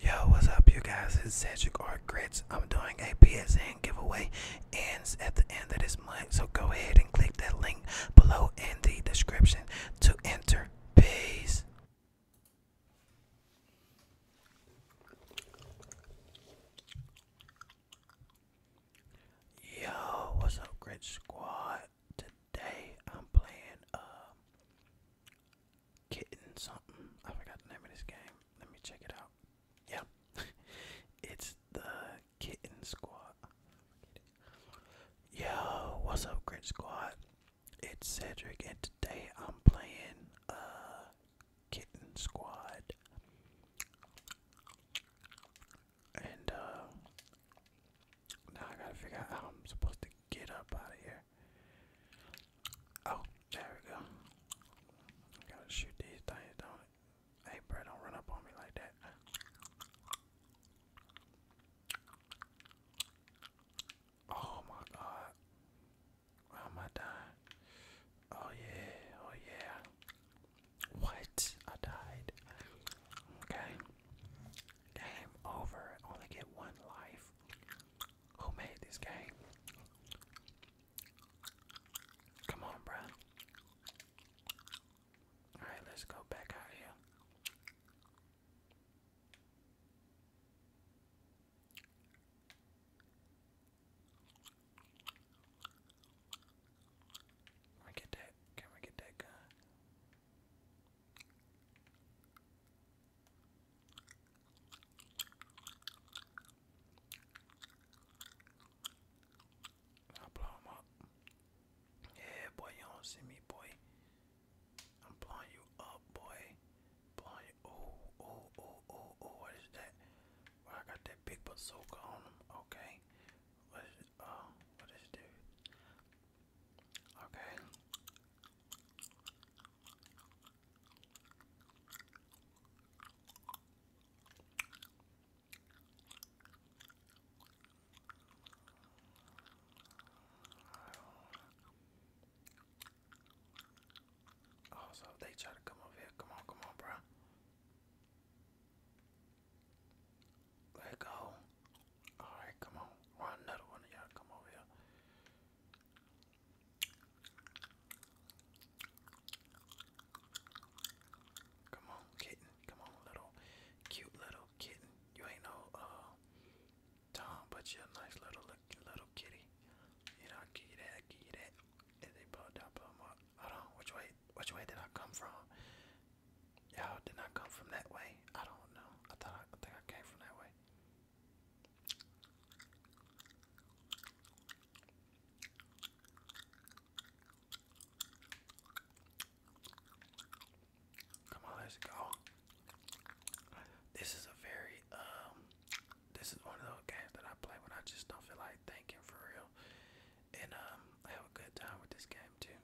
Yo, what's up, you guys? It's Cedric Art Grits. I'm doing a PSN giveaway. Ends at the end of this month, so go ahead and click that link below in the description to enter. Peace. Yo, what's up, Grit Squad? Today I'm playing uh, Kitten something. I forgot the name of this game. Let me check it out. Yeah. it's the Kitten Squad. Yo, what's up, Grit Squad? It's Cedric, and today I'm playing uh, Kitten Squad. And uh, now I gotta figure out how I'm supposed to get up out of here. Oh, there we go. gotta shoot these things, don't it? Hey, bro, don't run up on me like that. Oh my god. am I dying? Oh yeah, oh yeah. What? I died. Okay. Game over. Only get one life. Who made this game? Come on, bruh. Alright, let's go back out here. Can we get that? Can we get that gun? I blow him up. Yeah, boy, you don't see me, boy. I'm blowing you up, boy. Blowing you. Oh, oh, oh, oh, oh. What is that? I got that big bazooka on him. Okay. What is it? Oh, what is this? Okay. Oh, they try to come over here, come on, come on, bro. Let go. Alright, come on. Why another one of y'all come over here? Come on, kitten. Come on, little cute little kitten. You ain't no uh Tom, but you're a nice little little kitty. You know, i give you that, I'll give you that. And they pull down, pull up. Hold on, which way which way did I come from? Y'all did not come from that way. I don't know. I thought I think I came from that way. Come on, let's go. This is a very um this is one of those games that I play when I just don't feel like thinking for real. And um, I have a good time with this game too.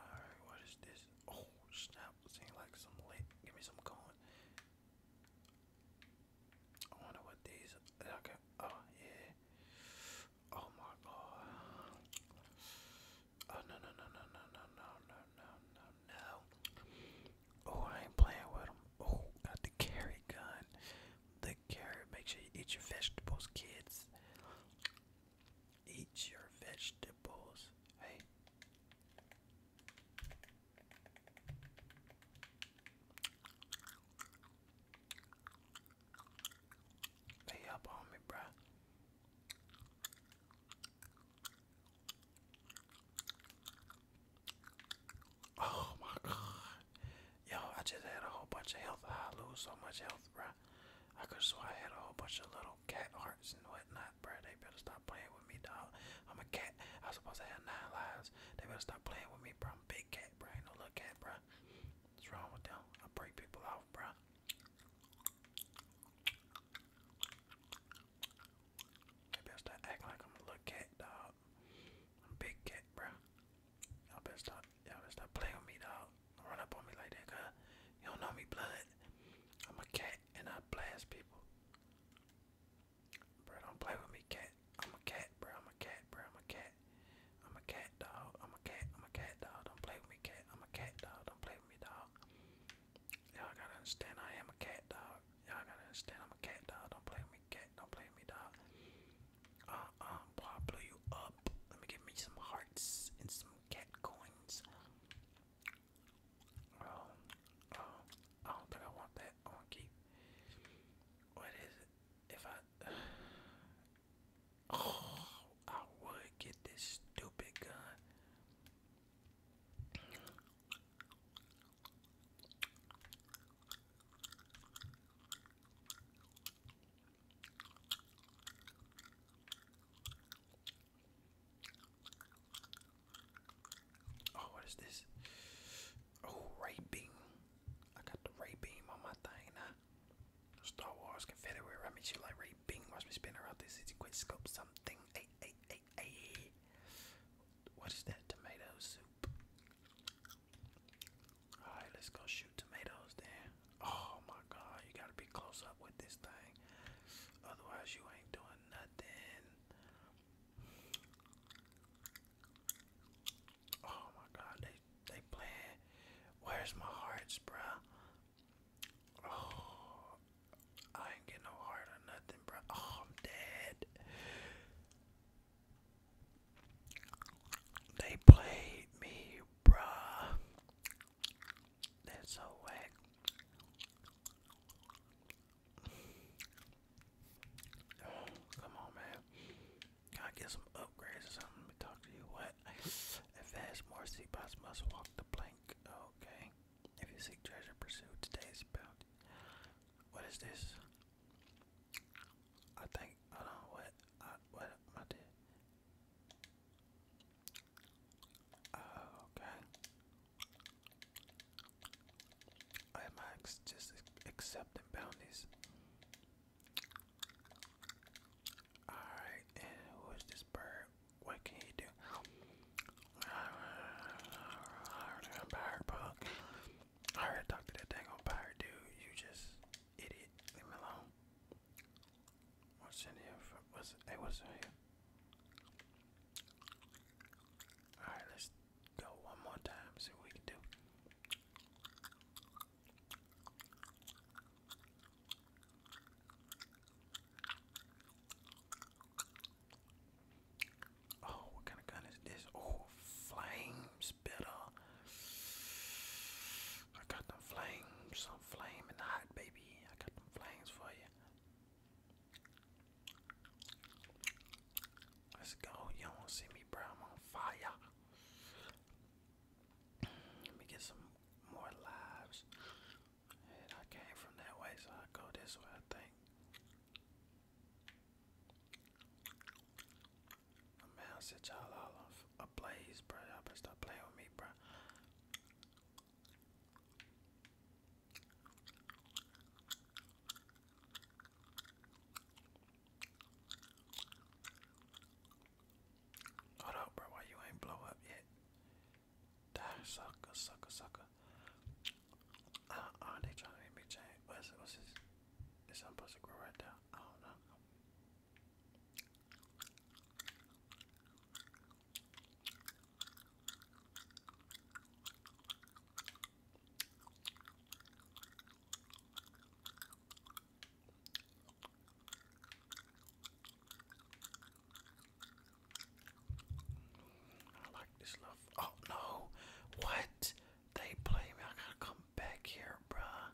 Alright, what is this? Oh snap, seems like some Give me some cone. I wonder what these are. Okay. Oh yeah. Oh my god. Oh no no no no no no no no no no Oh I ain't playing with them. Oh got the carry gun. The take Make sure you eat your vegetables, kids. Eat your vegetables. Hey. They up on me, bruh. Oh my god. Yo, I just had a whole bunch of health. I lose so much health, bro. I could swear I had a whole bunch of little cat hearts and whatnot, bro. They better stop playing with me, dog. I'm a cat. I was supposed to have nine lives. They better stop playing with me, bro. I'm a big cat, bro. Ain't no little cat, bro. What's wrong with them? I break people off, bro. They better start acting like I'm a little cat, dog. I'm big cat, bro. Y'all better stop. Y'all better stop playing with me, dog. Don't run up on me like that, cause you do know me, blood. I'm a cat and I blast people. Bro, don't play with me, cat. I'm a cat, bro. I'm a cat, bro. I'm a cat. I'm a cat, dog. I'm a cat. I'm a cat, dog. Don't play with me, cat. I'm a cat, dog. Don't play with me, dog. Y'all gotta understand. I am a cat, dog. Y'all gotta understand. I'm a cat, dog. Don't play with me, don't play me, dog. Uh, um, boy, I blew you up. Let me give me some hearts and some cat coins. Oh, oh, I don't think I want that. I want keep. What is it? If I, oh, I would get this stupid gun. Oh, what is this? Oh, ray beam. I got the ray beam on my thing now. Star Wars Confederate. I mean, she like ray beam. Watch me spin around this. It's quick scope something. Hey, hey, hey, hey. What is that tomato soup? Alright, let's go shoot tomatoes then. Oh my god, you gotta be close up with this thing. Otherwise, you ain't doing nothing. Oh my god, they they playing. Where's my hearts, bruh? Oh, I ain't get no heart or nothing, bruh. Oh, I'm dead. They played me, bruh. That's so whack. Oh, come on, man. Gotta get some upgrades or something. Let me talk to you. What? Advance more seat bots must walk the plank. Okay. If you seek treasure, pursue today's bounty. What is this? I think hold on what I what I okay. Am I just accepting bounties? Alright, and who is this bird? What can he do? Bird bug. I already talked to that dang old pirate dude. You just idiot. Leave me alone. What's in here? what's hey? What's in here? All right, let's go one more time. See what we can do. Oh, what kind of gun is this? Oh, flame spitter. I got them flames, some flame hot baby. I got them flames for you. Let's go. You don't see me, bro. I'm on fire. Let me get some more lives. And I came from that way, so I go this way, I think. My man set y'all all off a blaze, bro. Y'all better stop playing with me, bro. Hold up, bro. Why you ain't blow up yet? Die, sucker, sucker, sucker are uh, uh, they trying to make me change? What's, this? Is something supposed to grow right there? I don't know. I like this love. Oh no, what? They play me. I gotta come back here, bruh.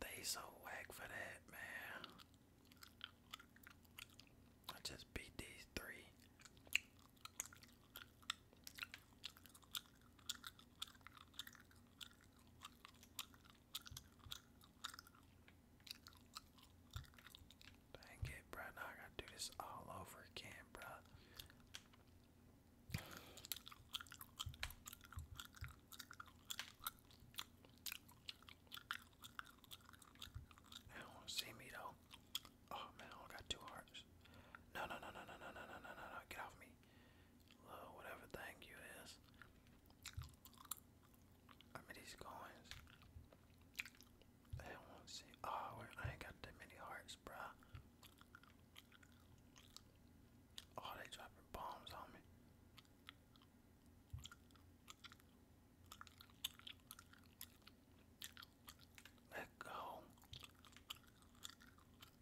They so whack for that, man. I just beat these three. Dang it, bruh. Now I gotta do this all over again, bruh. I don't see me though. Oh man, I got two hearts. No, no, no, no, no, no, no, no, no, no, Get off me. whatever thing you is. I mean, these coins. I won't see. Oh, I ain't got that many hearts, bruh. Oh, they dropping bombs on me. Let go.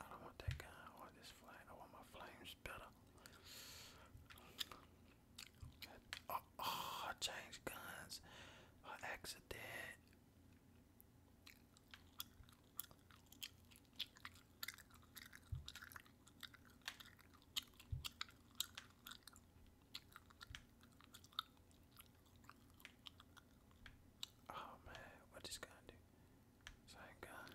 I don't want that guy. I want this flame. I want my flames better. Oh, oh I changed guns Oh man, what is gonna do? Thank God.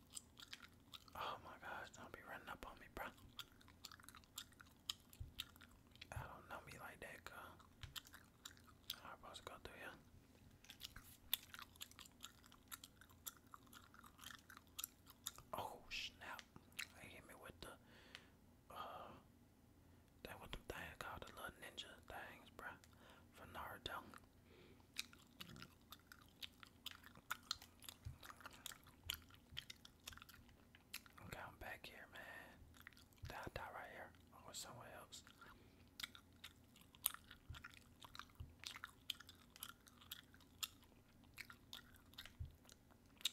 Oh my god! don't be running up on me, bro. I don't know me like that, girl. I'm supposed to go through Oh snap! They hit me with the uh, that what the thing called the little ninja things, bruh, from Naruto. Okay, I'm back here, man. Down, down right here. i somewhere else.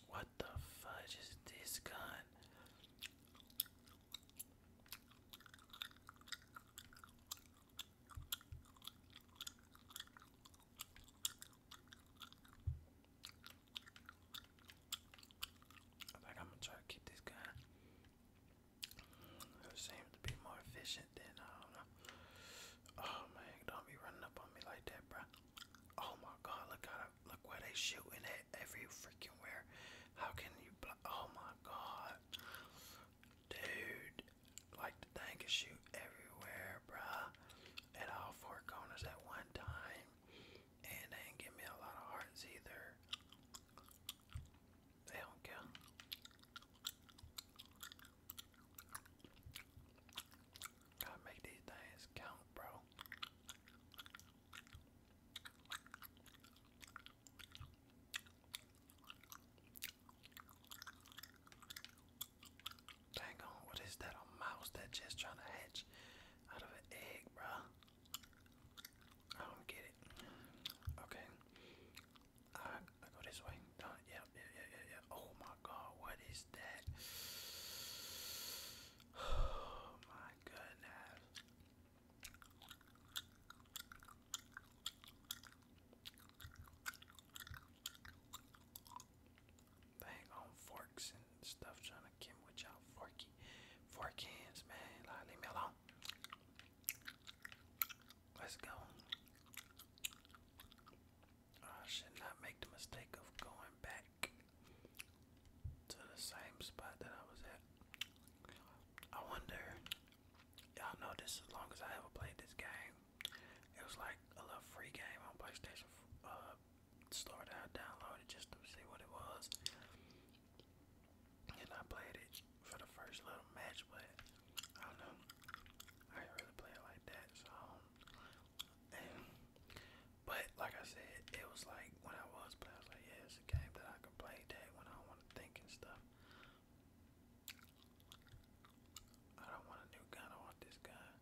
What the fuck is this gun? Like I'm gonna try to keep this gun. It seems to be more efficient than I don't know. Oh man, don't be running up on me like that, bro. Oh my God, look how look where they shooting at every freaking where. How can you? Oh my God. Dude, like the shoot everywhere, bruh, at all four corners at one time. And they ain't give me a lot of hearts either. They don't care. Gotta make these things count, bro. Dang on, what is that? A mouse that just trying to hatch out of an egg, bruh. I don't get it. Okay. I, I go this way. Done. Yep, yep, yep, Oh my god, what is that? Oh my goodness. Bang on forks and stuff trying to get with y'all forky fork man. Like leave me alone. Let's go. I should not make the mistake of going back to the same spot that I was at. I wonder y'all know this as long as I ever played this game it was like a little free game on PlayStation uh, Store that just to see what it was. And I played it for the first little match, but I don't know. I didn't really play it like that, so. Um, and, but like I said, it was like when I was, but I was like, yeah, it's a game that I can play that when I want to think and stuff. I don't want a new gun, I want this gun.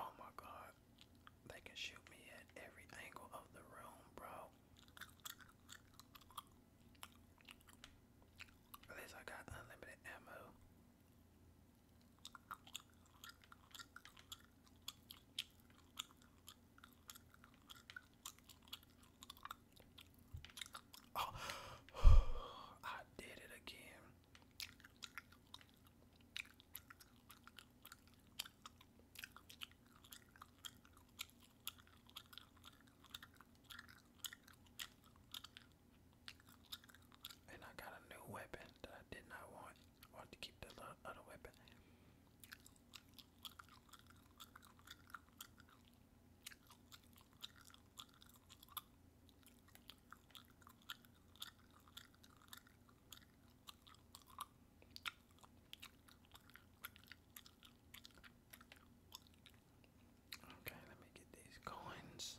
Oh my god. They can shoot me at every angle of the room, bro. At least I got unlimited ammo. Oh, I did it again. And I got a new weapon that I did not want. I want to keep that other weapon. Okay, let me get these coins.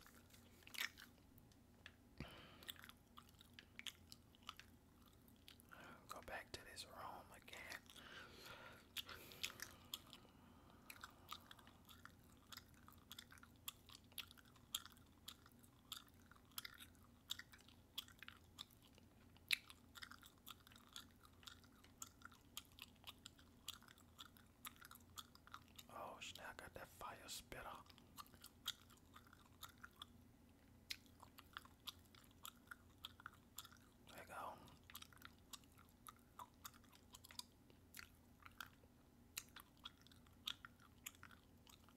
Go back to this room again. Oh, shit, I got that fire spit up. There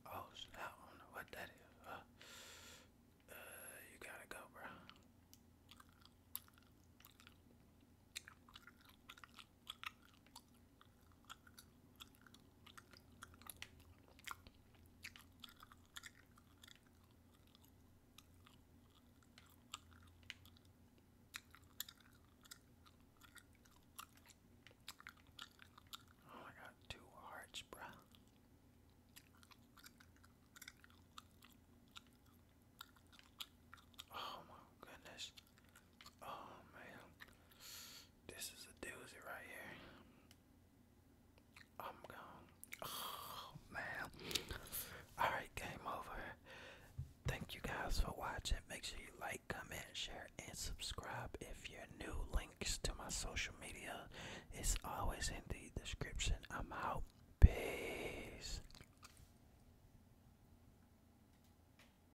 Oh snap, I don't know what that is. Uh, uh, you gotta go, bro. Oh, I got two hearts, bruh. Oh my goodness. Oh man, this is a doozy right here. I'm gone. Oh man. Alright, game over. Thank you guys for watching. Make sure you like, comment, share, and subscribe. If you're new, links to my social media is always in the description. I'm out. Peace.